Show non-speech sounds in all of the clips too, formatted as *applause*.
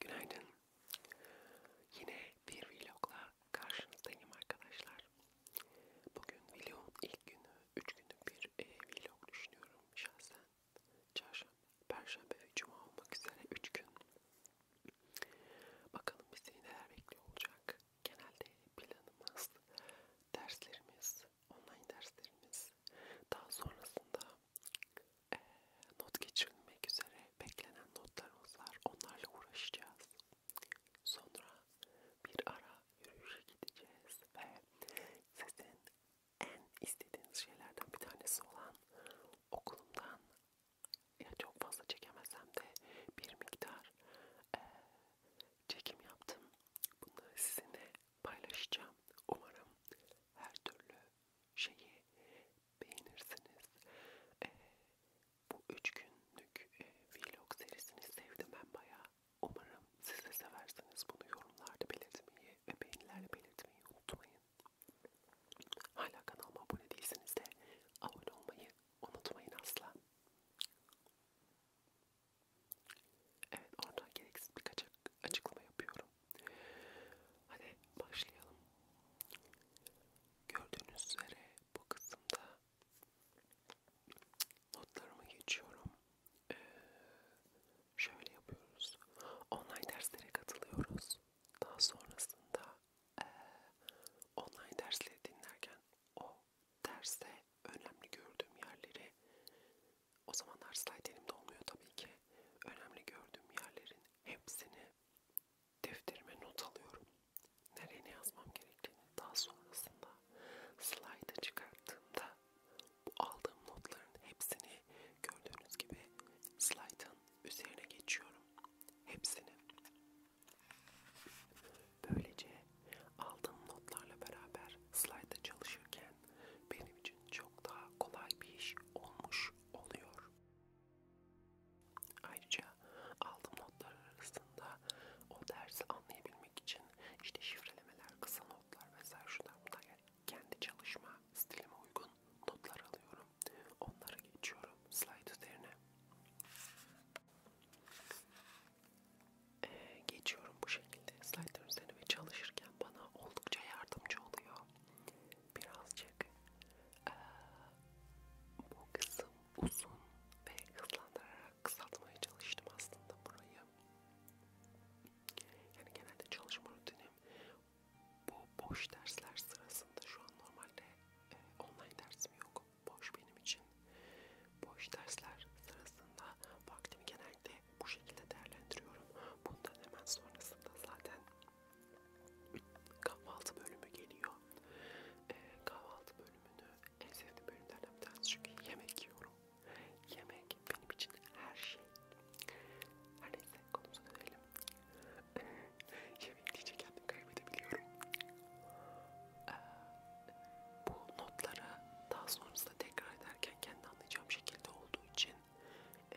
Günaydın. Yine bir vlogla karşınızdayım arkadaşlar. Bugün vlogun ilk günü, 3 günlük bir e, vlog düşünüyorum şahsen. Çarşamba, Perşembe ve Cuma olmak üzere 3 gün Bakalım bizi neler bekliyor olacak. Genelde planımız, derslerimiz, online derslerimiz, daha sonrasında e, not geçirilmek üzere beklenen notlarımız var. Onlarla uğraşacağız. Sonra bir ara yürüyüşe gideceğiz ve sizin en istediğiniz şeylerden bir tanesi olan okulumdan ya çok fazla çekemezsem de bir miktar e, çekim yaptım. Bunu sizinle paylaşacağım. Umarım her türlü şeyi beğenirsiniz. E, bu üç günlük e, vlog serisini sevdim ben bayağı. Umarım siz de seversiniz. Bunu yorumlarda belirtmeyi ve beğenilerle belirtmeyi unutmayın. Hala kanalıma abone değilseniz de abone olmayı Unutmayın asla. Evet oradan gereksiz birkaç açıklama yapıyorum. Hadi başlayalım. Gördüğünüz üzere bu kısımda notlarımı geçiyorum. Ee, şöyle yapıyoruz. Online derslere katılıyoruz. Daha sonrasında e, online dersleri dinlerken o derste önemli gördüğüm yerleri o zamanlar slide elimde olmuyor tabii ki önemli gördüğüm yerlerin hepsini defterime not alıyorum. Nereye ne yazmam gerektiğini daha sonrasında slide'a çıkarttığımda bu aldığım notların hepsini gördüğünüz gibi slide'ın üzerine geçiyorum. Hepsini. Böylece aldığım notlarla beraber slayda çalışırken benim için çok daha kolay bir iş olmuş oluyor. Ayrıca aldığım notlar arasında o dersi anlayabilmek için işte şifrelemeler, kısa notlar vesaire şu da yani kendi çalışma stilime uygun notlar alıyorum. Onları geçiyorum slide üzerine. Ee, geçiyorum bu şekilde slide'ın üzerine ve çalışırken bana oldukça yardımcı oluyor. Birazcık ee, bu kısım uzun ve hızlandırarak kısaltmaya çalıştım aslında burayı. Yani genelde çalışma rutinim bu boş dersler sırasında şu an normalde e, online dersim yok boş benim için. Boş dersler sırasında vaktimi genelde bu şekilde değerlendiriyorum. Bundan hemen sonrasında zaten kahvaltı bölümü geliyor. Ee, kahvaltı bölümünü en sevdiğim bölümlerden bir tanesi çünkü yemek yiyorum. Yemek benim için her şey. Her neyse konumuza dönelim yemek şey, diyecek kendim kaybedebiliyorum. Ee, bu notları daha sonrasında tekrar ederken kendi anlayacağım şekilde olduğu için e,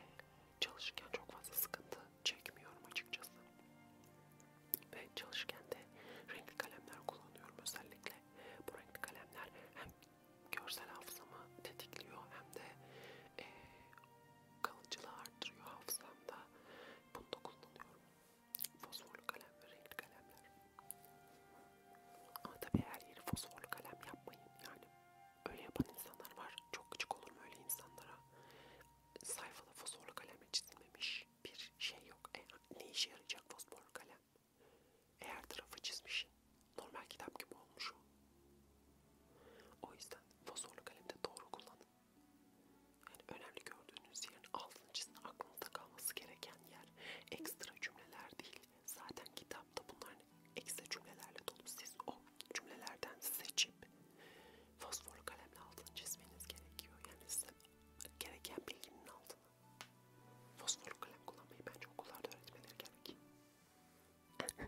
çalışırken çok fazla sıkıntı çekmiyorum açıkçası. Ve çalışırken de renkli kalemler kullanıyorum özellikle. Bu renkli kalemler hem görsel hafızamı tetikliyor hem de e, kalıcılığı arttırıyor hafızamda. Bunu da kullanıyorum. Fosforlu kalem ve renkli kalemler. Ama tabii her yeri fosforlu kalem yapmayın yani. Öyle yapan insanlar var. Çok küçük olur mu öyle insanlara? Sayfada fosforlu kalemle çizilmemiş bir şey yok. E, ne işe yarayacak fosforlu kalem? Eğer tarafı çizmişsin. Normal kitap gibi olmuş o. O yüzden fosforlu kalemi de doğru kullanın. Yani önemli gördüğünüz yerin altını çizin. Aklınızda kalması gereken yer. Ekstra cümleler değil. Zaten kitapta bunların ekstra cümlelerle dolu. Siz o cümlelerden seçip fosforlu kalemle altını çizmeniz gerekiyor. Yani size gereken bilginin altını. Fosforlu kalem kullanmayı bence okullarda öğretmeleri gerek. *laughs*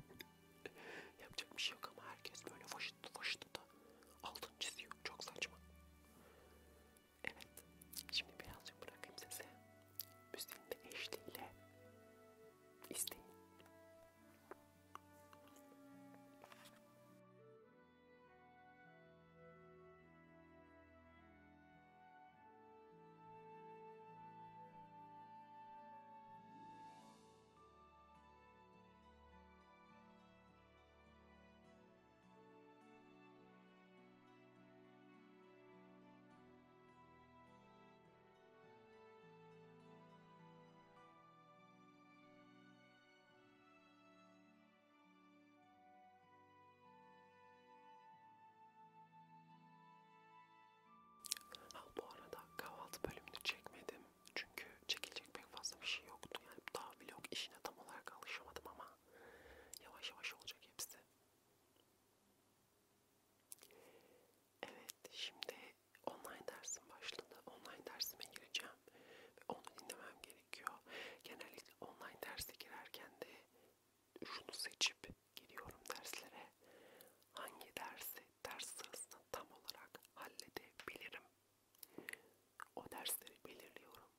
Yapacak bir şey yok ama herkes böyle faşıttı faşıttı da altın çiziyor. Çok saçma. Evet. Şimdi birazcık bırakayım size. Müziğini de eşliğiyle isteyin. Ha bu arada kahvaltı bölümünü çekmedim. Çünkü çekilecek pek fazla bir şey yoktu. Yani daha vlog işine tam olarak alışamadım ama yavaş yavaş olacak hepsi. Evet şimdi online dersim başladı. Online dersime gireceğim ve onu dinlemem gerekiyor. Genellikle online derse girerken de şunu seçip gidiyorum derslere. Hangi dersi ders sırasında tam olarak halledebilirim o dersleri belirliyorum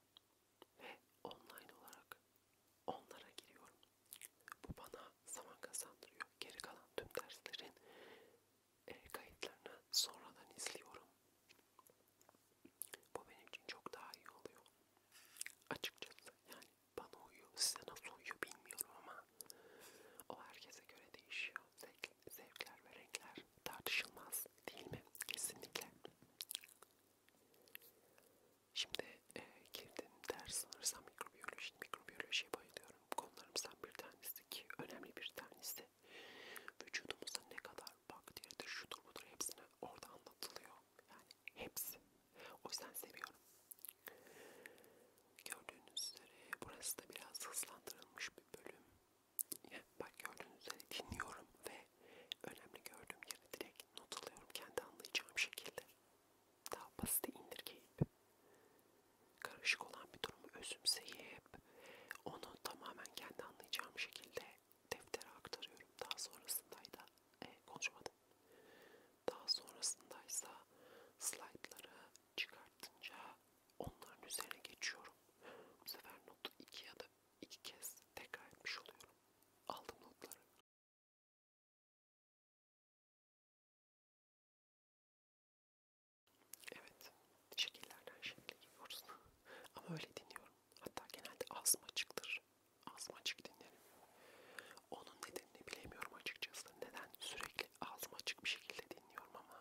ve online olarak onlara giriyorum. Bu bana zaman kazandırıyor. Geri kalan tüm derslerin e, kayıtlarını sonradan izliyorum. Bu benim için çok daha iyi oluyor. Açıkçası yani bana uyuyor, size nasıl uyuyor bilmiyorum ama o herkese göre değişiyor. Zevk, zevkler ve renkler tartışılmaz değil mi? Kesinlikle. Şimdi e, girdiğim ders sanırsam mikrobiyoloji, mikrobiyolojiye bayılıyorum. Konularımızdan bir tanesi ki önemli bir tanesi. Vücudumuzda ne kadar bakteri de şudur budur hepsine orada anlatılıyor. Yani hepsi. O yüzden seviyorum. Gördüğünüz üzere burası da biraz hızlandırılmış bir bölüm. Bak gördüğünüz üzere dinliyorum ve önemli gördüğüm yere direkt not alıyorum kendi anlayacağım şekilde. Daha basite indirgeyip, karışık olan bir durumu özümseyip, onu tamamen kendi anlayacağım şekilde deftere aktarıyorum. Daha sonrasındaydı e, konuşmadım. Daha sonrasındaysa slaytları çıkartınca onların üzerine geçiyorum. Bu sefer notu iki ya da iki kez tekrar etmiş oluyorum. Aldım notları. Evet, şekillerden şekle gidiyoruz. Ama öyle dinliyorum. Hatta genelde ağzım açıktır. Ağzım açık dinlerim. Onun nedenini bilemiyorum açıkçası. Neden sürekli ağzım açık bir şekilde dinliyorum ama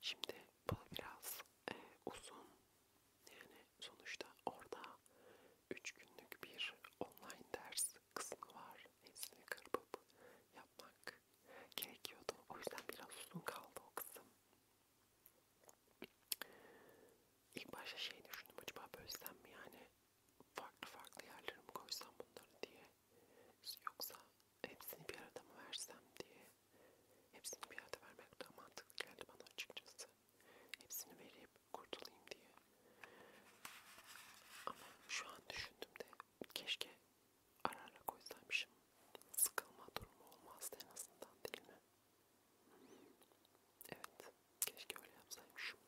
Şimdi bu biraz e, uzun yani sonuçta orada 3 günlük bir online ders kısmı var. Hepsini kırpıp yapmak gerekiyordu. O yüzden biraz uzun kaldı o kısım. İlk başta şey düşündüm acaba bölsem mi yani farklı farklı yerlere mi koysam bunları diye yoksa hepsini bir arada mı versem diye hepsini bir arada vermek daha mantıklı geldi bana açıkçası hepsini verip kurtulayım diye ama şu an düşündüğümde keşke ara ara koysaymışım sıkılma durumu olmazdı en azından değil mi? Evet keşke öyle yapsaymışım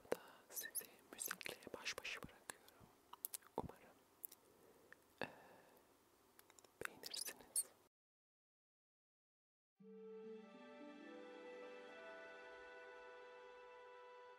Burada sizi müzikle baş başa bırakıyorum. Umarım ee, beğenirsiniz.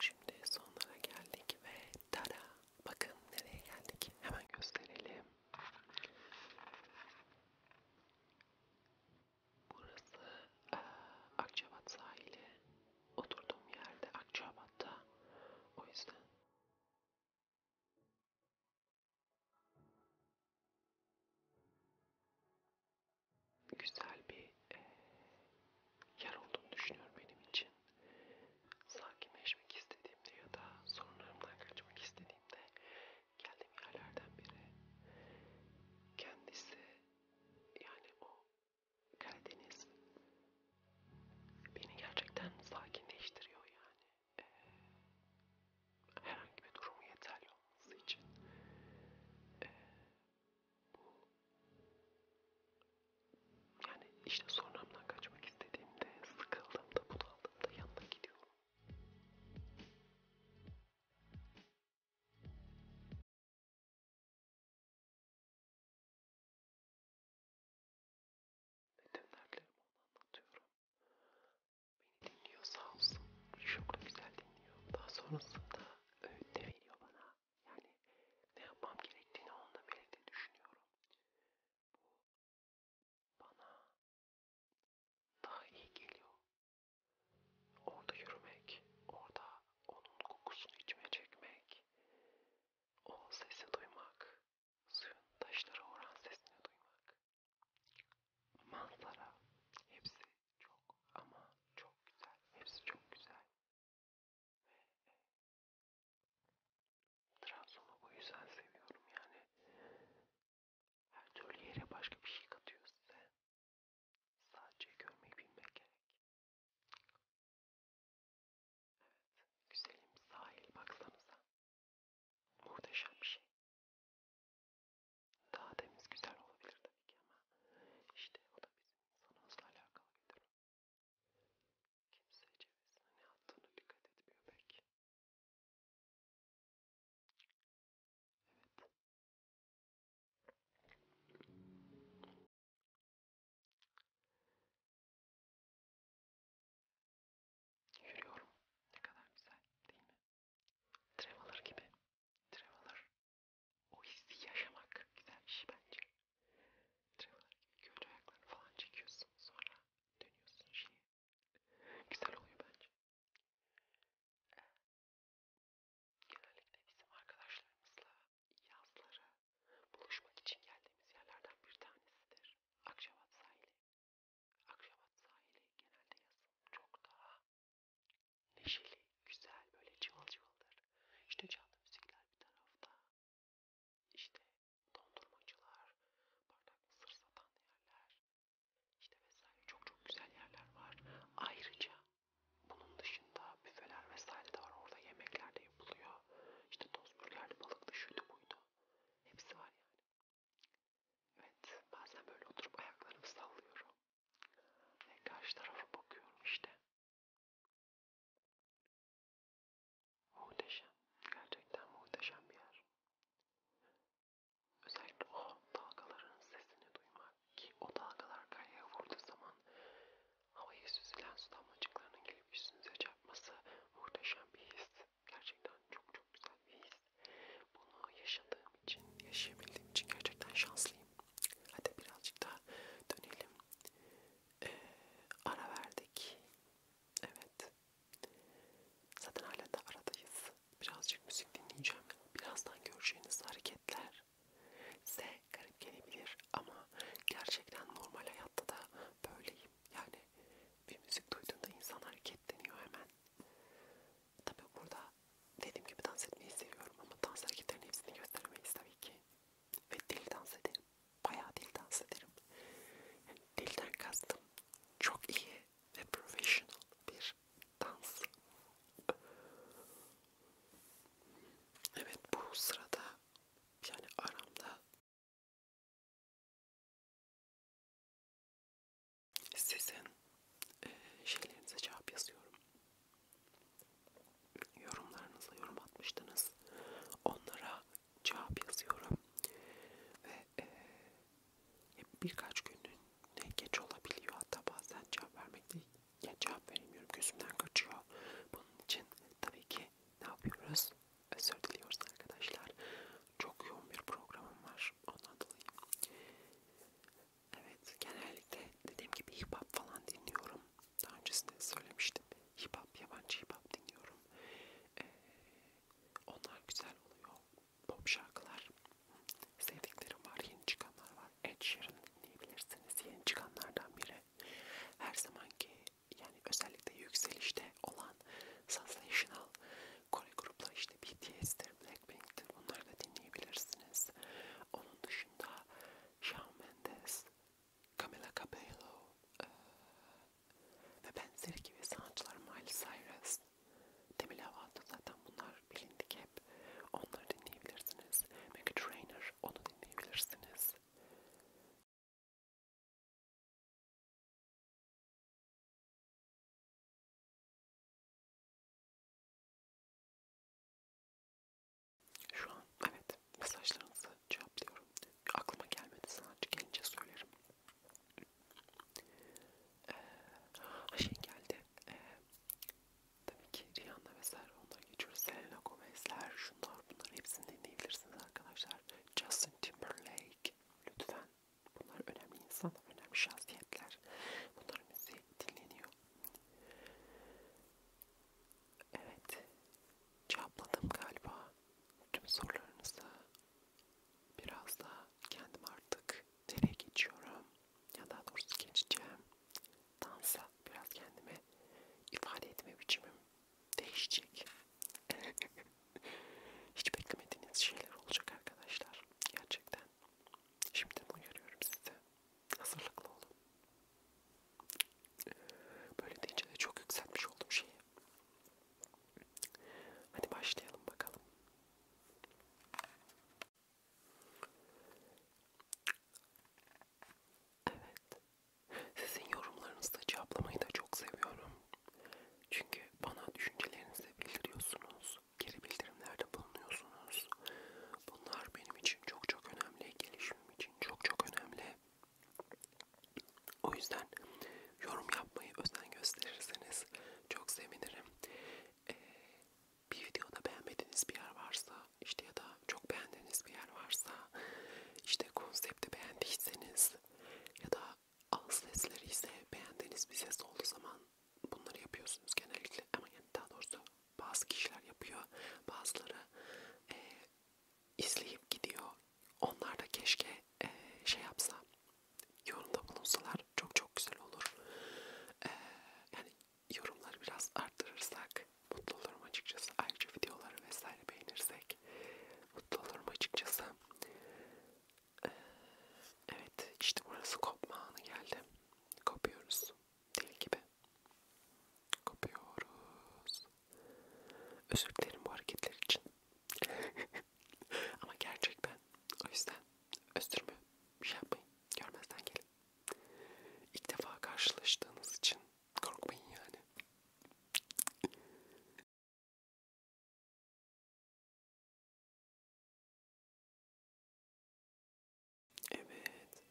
Şimdi sonlara geldik ve tara bakın nereye geldik hemen gösterelim. Burası e, Akçabat sahili. Oturduğum yerde Akçabat'ta. O yüzden güzel bir e, yer olduğunu düşünüyorum benim için. Sakinleşmek istediğimde ya da sorunlarımdan kaçmak istediğimde geldiğim yerlerden biri. Kendisi yani o Karadeniz beni gerçekten sakinleştiriyor yani herhangi bir durumu yeterli olması için e, bu yani işte sorunumdan kaçmak istediğimde sıkıldığımda bunaldığımda yanına gidiyorum. Metin dertlerimi ona anlatıyorum. Beni dinliyor sağ olsun. Çok güzel dinliyor. Daha sonrasında öğüt de veriyor bana. Yani ne yapmam gerektiğini onunla birlikte düşünüyorum. Bu bana daha iyi geliyor. Orada yürümek, orada onun kokusunu içime çekmek, o sesi duymak, suyun taşlara vuran sesini duymak manzara hepsi çok ama çok güzel. Hepsi çok güzel. Ve e, Trabzon'u bu yüzden seviyorum yani. Her türlü yere başka bir şey katıyor size. Sadece görmeyi bilmek gerek. Evet. Güzelim sahil baksanıza. Muhteşem bir şey. Daha temiz güzel olabilir tabii ki ama işte o da bizim sanatla alakalı bir durum. Kimse cevizine ne attığına dikkat etmiyor pek. Evet. Yürüyorum. Ne kadar güzel değil mi? Traveler gibi. Traveler. O hissi yaşamak güzel bir şey bence. Traveler gibi gölge ayaklarını falan çekiyorsun. Sonra dönüyorsun şeye. Güzel oluyor bence. Ee, genellikle bizim arkadaşlarımızla yazları buluşmak için geldiğimiz yerlerden bir tanesidir. Akçabat sahili. Akşabat sahili genelde yazın çok daha neşeli, güzel böyle cıvıl cıvıldır. İşte canlı müzikler bir tarafta. İşte dondurmacılar, bardak mısır satan yerler. İşte vesaire çok çok güzel yerler var. Ayrıca bunun dışında büfeler vesaire de var. Orada yemekler de yapılıyor. İşte toz burgerli balık da şuydu buydu. Hepsi var yani. Evet, bazen böyle oturup ayaklarımı sallıyorum. Ve karşı tarafa bakıyorum işte. Muhteşem, gerçekten muhteşem bir yer. Özellikle o dalgaların sesini duymak ki o dalgalar kayaya vurduğu zaman havayı süzülen su damlacıklarının gelip üstünüze çarpması muhteşem bir his. Gerçekten çok çok güzel bir his. Bunu yaşadığım için, yaşayabildiğim için gerçekten şanslıyım. Hadi birazcık daha dönelim. Ee, ara verdik. Evet. Zaten hala da aradayız. Birazcık müzik dinleyeceğim. Birazdan göreceğiniz hareketler size garip gelebilir ama gerçekten normal hayatta da böyleyim. Yani bir müzik duyduğunda insan hareketleniyor hemen. Tabi burada dediğim gibi dans etmeyi seviyorum ama dans hareketlerinin hepsini gösteremeyiz tabii ki. Ve dil dans ederim. Bayağı dil dans ederim. Yani dilden kastım çok iyi ve professional bir dans. Evet bu sırada yani aramda sizin e, şeylerinize cevap yazıyorum. Yorumlarınıza yorum atmıştınız. Onlara cevap yazıyorum. Ve e, birkaç günün ne geç olabiliyor. Hatta bazen cevap vermek değil. Yani cevap veremiyorum. Gözümden kaçıyor. Bunun için tabii ki ne yapıyoruz? Özür diliyoruz arkadaşlar. Çok yoğun bir programım var. Ondan dolayı. Evet, genellikle dediğim gibi hip hop falan dinliyorum. Daha öncesinde de söylemiştim. Hip hop, yabancı hip hop dinliyorum. Ee, onlar güzel oluyor. Pop şarkılar. Sevdiklerim var, yeni çıkanlar var. Ed Sheeran dinleyebilirsiniz. Yeni çıkanlardan biri. Her zamanki yani özellikle yükselişte olan sensational Kore grupları işte BTS'tir, Blackpink'tir bunları da dinleyebilirsiniz. Onun dışında Shawn Mendes, Camila Cabello e, ve benzeri gibi sanatçılar Miley Cyrus, Demi Lovato zaten bunlar bilindik hep. Onları dinleyebilirsiniz. Meghan Trainor onu dinleyebilirsiniz. Şu an evet mesajlarınızı cevaplıyorum. Aklıma gelmedi sanatçı gelince söylerim. Ee, şey geldi. Ee, tabii ki Rihanna vesaire ondan geçiyoruz. Selena Gomez'ler şunlar bunlar hepsini dinleyebilirsiniz arkadaşlar. Justin Timberlake lütfen Bunlar önemli insanlar, önemli şahsiyetler. Bunların müziği dinleniyor. Evet, cevapladım galiba tüm sorularınızı. Biraz da kendim artık nereye geçiyorum ya daha doğrusu geçeceğim. Dansa biraz kendimi ifade etme biçimim değişecek. *laughs* *laughs* Hiç beklemediğiniz şeyler olacak arkadaşlar. Gerçekten. Şimdiden uyarıyorum size. Hazırlıklı olun. Böyle deyince de çok yükseltmiş oldum şeyi. Hadi başlayalım bakalım. Evet. Sizin yorumlarınızı cevaplamayı da çok seviyorum. Çünkü bana düşüncelerinizi bildiriyorsunuz, geri bildirimlerde bulunuyorsunuz. Bunlar benim için çok çok önemli, gelişimim için çok çok önemli. O yüzden yorum yapmayı özen gösterirseniz çok sevinirim. Ee, bir videoda beğenmediğiniz bir yer varsa, işte ya da çok beğendiğiniz bir yer varsa, işte konsepti beğendiyseniz ya da ağız sesleri ise beğendiğiniz bir ses olduğu zaman bunları yapıyorsunuz genellikle ama yani daha doğrusu bazı kişiler yapıyor bazıları e, izleyip gidiyor onlar da keşke e, şey yapsa yorumda bulunsalar çok çok güzel olur e, yani yorumları biraz arttırırsak mutlu olurum açıkçası ayrıca videoları vesaire beğenirsek mutlu olurum açıkçası Evet işte burası kopma anı geldi. Kopuyoruz. Deli gibi. Kopuyoruz. Özür dilerim bu hareketler için. *laughs* Ama gerçek ben. O yüzden östürme bir şey yapmayın. Görmezden gelin. İlk defa karşılaştığınız için korkmayın yani. Evet.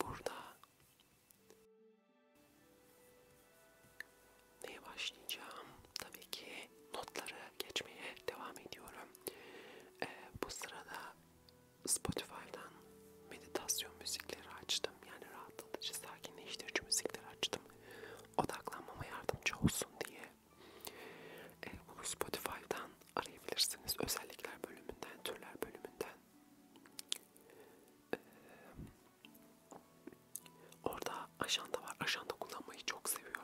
Burada neye başlayacağım? Tabii ki notları geçmeye devam ediyorum. Ee, bu sırada Spotify'dan meditasyon müzikleri açtım. Yani rahatlatıcı, sakinleştirici müzikleri açtım. Odaklanmama yardımcı olsun diye. E, onu Spotify'dan arayabilirsiniz. Özellikler bölümünden, türler bölümünden. E, orada ajanda var. Ajanda kullanmayı çok seviyorum.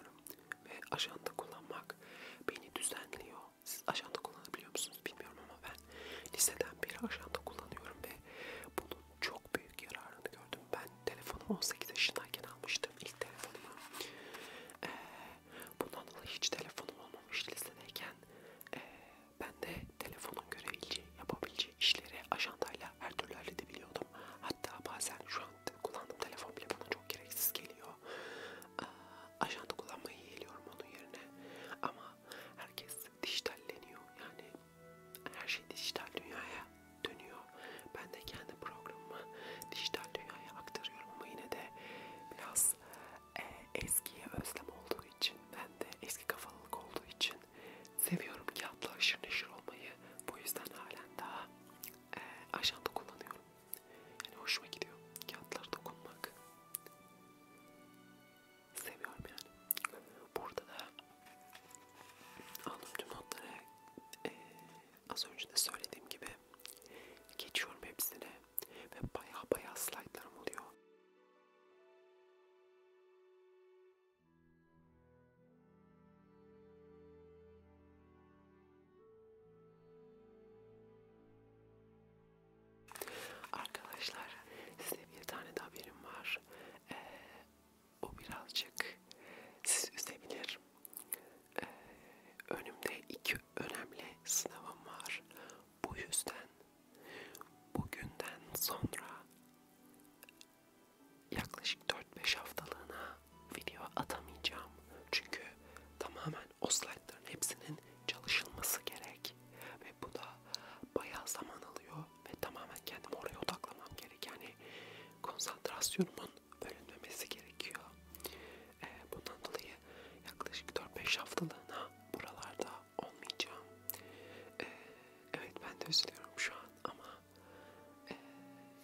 Ve ajanda kullanmak beni düzenliyor. Siz ajanda kullanabiliyor musunuz bilmiyorum ama ben liseden beri ajanda kullanıyorum ve bunun çok büyük büyük yararını gördüm. Ben telefonumu 18 yaşındayken almıştım ilk telefonumu. Ee, bundan dolayı hiç telefonum olmamış lisedeyken e, ben de telefonun görebileceği, yapabileceği işleri ajandayla her türlü halledebiliyordum. Hatta bazen şu an kullandığım telefon bile bana çok gereksiz geliyor. Ee, ajanda kullanmayı yeğliyorum onun yerine. Ama herkes dijitalleniyor yani her şey dijital dünyaya dönüyor. Ben de kendi programımı dijital dünyaya aktarıyorum ama yine de biraz e, eskiye özlem olduğu için, ben de eski kafalılık olduğu için seviyorum kağıtla aşırı neşir olmayı. Bu yüzden halen daha e, ajanda kullanıyorum. Yani hoşuma gidiyor kağıtlara dokunmak. Seviyorum yani. Burada da aldım tüm notları e, az önce de söylediğim gibi geçiyorum hepsine ve baya baya slaytlarım oluyor. Arkadaşlar size bir tane de haberim var. Ee, bu birazcık sizi üzebilir. Ee, önümde iki önemli sınavım var. Bu yüzden bugünden sonra yaklaşık 4-5 haftalığına video atamayacağım. Çünkü tamamen o slaytların hepsinin çalışılması gerek. Ve bu da bayağı zaman alıyor ve tamamen kendimi oraya odaklamam gerek. Yani konsantrasyonumun ölünmemesi gerekiyor. E, bundan dolayı yaklaşık 4-5 haftalığına buralarda olmayacağım. E, evet ben de üzülüyorum şu an ama e,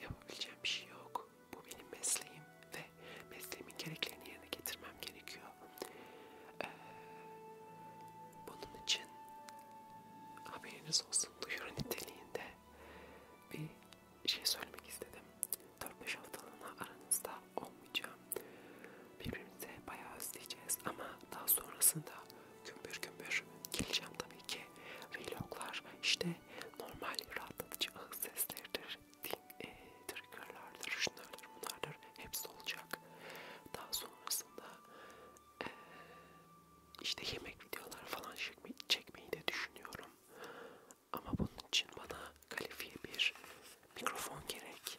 yapabileceğim bir şey yok. Bu benim mesleğim ve mesleğimin gereklerini yerine getirmem gerekiyor. E, bunun için haberiniz olsun duyuru niteliğinde bir şey söylemek istedim. 4-5 haftalığına aranızda olmayacağım. Birbirimize bayağı özleyeceğiz ama daha sonrasında gümbür gümbür geleceğim tabii ki. Vloglar işte normal rahatlatıcı ağız sesleridir, din, e, triggerlardır, şunlardır, bunlardır. Hepsi olacak. Daha sonrasında e, işte yemek videoları falan çekmeyi de düşünüyorum. Ama bunun için bana kalifiye bir mikrofon gerek.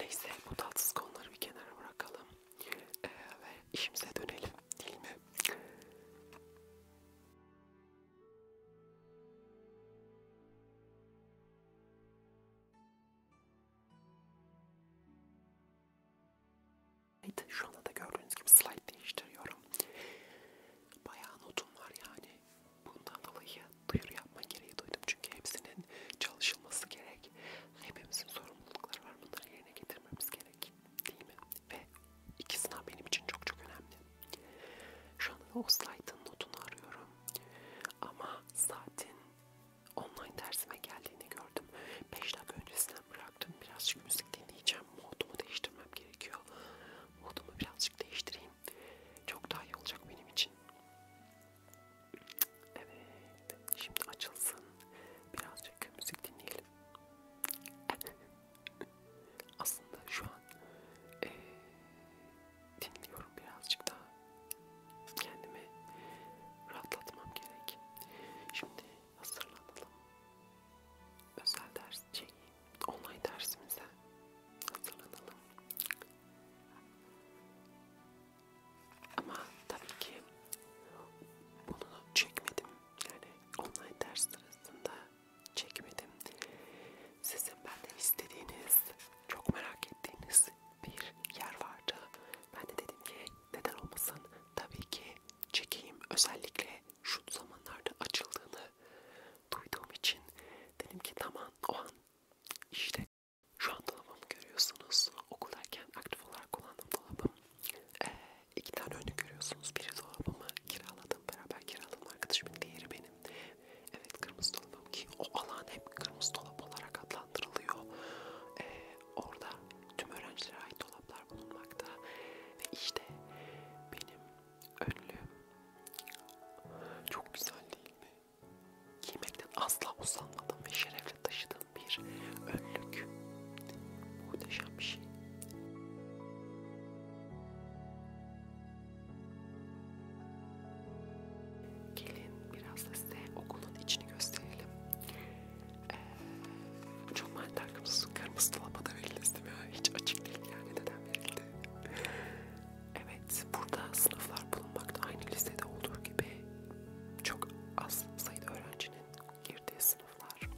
Neyse bu tatsız konuları bir kenara bırakalım ee, ve işimize dönelim değil mi? Şu anda da gördüğünüz gibi slide değiştiriyorum. Bayağı notum var yani. Bundan dolayı duyuru yapma gereği duydum. Çünkü hepsinin çalışılması gerek. Hepimizin sorumlulukları var. Bunları yerine getirmemiz gerek. Değil mi? Ve iki sınav benim için çok çok önemli. Şu anda da o slide'ın notunu arıyorum. Ama saatin online dersime geldiğini gördüm. 5 dakika öncesinden bıraktım. Birazcık müzik dinleyeceğim. Modumu değiştirmem gerekiyor. Modumu birazcık değiştireyim. Çok daha iyi olacak benim için. Evet. Şimdi açılsın. Birazcık müzik dinleyelim. Aslında şu an e, dinliyorum birazcık daha kendimi rahatlatmam gerek. Şimdi hazırlanalım. Özel ders şey, online dersimize hazırlanalım. Ama tabii ki bunu çekmedim. Yani online ders sırasında çekmedim. Sizin benden istediğiniz çok merak ettiğiniz bir yer vardı. Ben de dedim ki neden olmasın tabii ki çekeyim. Özellikle şu zamanlarda açıldığını duyduğum için dedim ki tamam o an işte şu an dolabımı görüyorsunuz. Okuldayken aktif olarak kullandım dolabım. Ee, iki tane önü görüyorsunuz. Biri dolabımı kiraladım. Beraber kiraladım arkadaşımın. Diğeri benim. Evet kırmızı dolabım ki o alan hep kırmızı dolap olarak adlandırılıyor. Ee, orada tüm öğrencilere ait dolaplar bulunmakta. Ve işte benim önlüğüm çok güzel değil mi? Giymekten asla usanmadım ve şerefle taşıdığım bir önlük. Muhteşem bir şey. Gelin biraz da size okulun içini gösterelim. Ee, çok mal takımsız kırmızı dolaba da verildi ya. Hiç açık değil yani neden verildi. evet burada sınıflar bulunmakta aynı lisede olduğu gibi çok az sayıda öğrencinin girdiği sınıflar.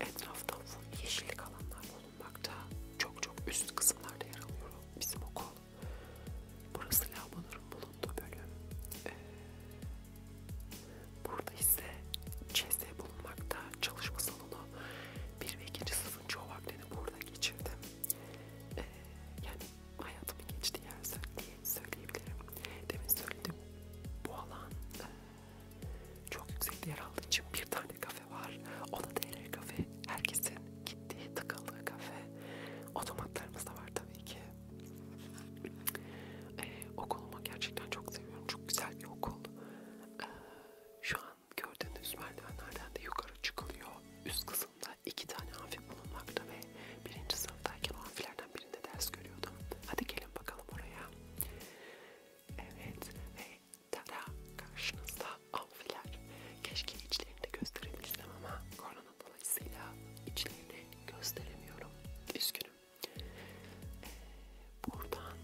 Etrafta full yeşillik alanlar bulunmakta. Çok çok üst kısımlarda yer alıyor bizim okul. Burası lavabonun bulunduğu bölüm. Ee, burada ise ÇS bulunmakta. Çalışma salonu 1 ve 2. sınıfın çoğu vaktini burada geçirdim. Ee, yani hayatımın geçtiği yer diye söyleyebilirim. Demin söyledim bu alan e, çok yüksekte yer aldığı için bir tane kafe var. O da DL kafe. Herkesin gittiği tıkalı kafe otomatlarımız da var tabii ki. Ee, okulumu gerçekten çok seviyorum. Çok güzel bir okul. Ee, şu an gördüğünüz merdivenlerden de yukarı çıkılıyor. Üst kısımda iki tane amfi bulunmakta ve birinci sınıftayken o amfilerden birinde ders görüyordum. Hadi gelin bakalım oraya. Evet ve tara karşınızda amfiler. Keşke içlerini de gösterebilsem ama korona sorunu dolayısıyla içlerini gösteremiyorum. Üzgünüm. Ee, buradan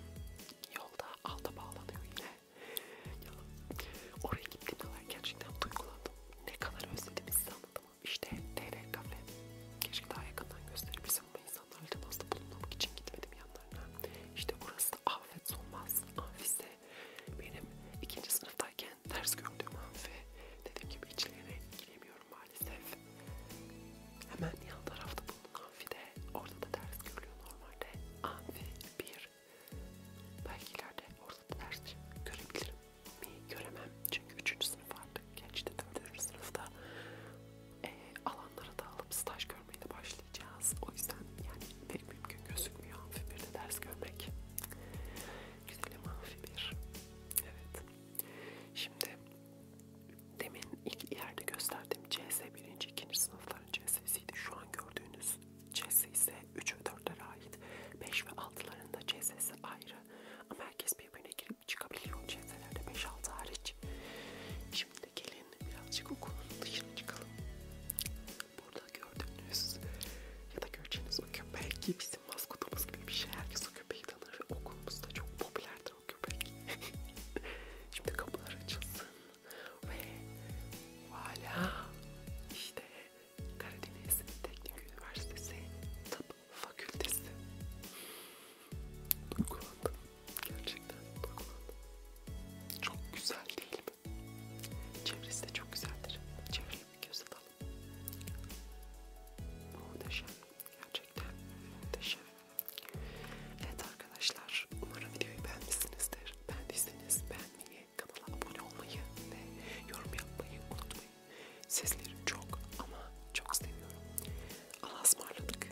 yolda alta bağlanıyor yine. Ya, oraya gittiğimde ben gerçekten duygulandım. Ne kadar özledim İstanbul'u. İşte TV kafe. Keşke daha yakından gösterebilsem ama insanlarla temasta bulunmak için gitmedim yanlarına. İşte burası da Afet Solmaz Amfisi. Benim ikinci sınıftayken ters gördüğüm an ve dediğim gibi içlerine giremiyorum maalesef. Hemen yan tarafta bulunan amfide, orada da ters görülüyor normalde. Amfi 1. Belki ileride orada da ters görebilirim mi? Göremem. Çünkü 3. sınıf artık geçti. 4. sınıfta e, alanlara dağılıp staj görmeye de başlayacağız. O yüzden yani pek mümkün gözükmüyor amfi 1'de ders görmek. Güzeli mavi bir. Evet. Şimdi demin ilk yerde gösterdiğim CS 1. 2. sınıfların CS'siydi. Şu an gördüğünüz CS ise 3 ve 4'lere ait. 5 ve 6'ların da CS'si ayrı. Ama herkes birbirine girip çıkabiliyor CS'lerde 5-6 hariç. Şimdi gelin birazcık okulun dışına çıkalım. Burada gördüğünüz ya da göreceğiniz o köpek ki bizim maskotumuz gibi bir şey. Herkes o köpeği tanır ve okulumuzda çok popülerdir o köpek. *laughs* Şimdi kapılar açılsın ve voilà işte Karadeniz Teknik Üniversitesi Tıp Fakültesi. Duygulandım. Gerçekten duygulandım. Çok güzel değil mi? Çevresi de çok güzeldir. Çevreli bir göz atalım. Muhteşem. Gerçekten muhteşem. Evet arkadaşlar. Umarım videoyu beğenmişsinizdir. Beğendiyseniz beğenmeyi, kanala abone olmayı ve yorum yapmayı unutmayın. Sizleri çok ama çok seviyorum. Allah'a ısmarladık.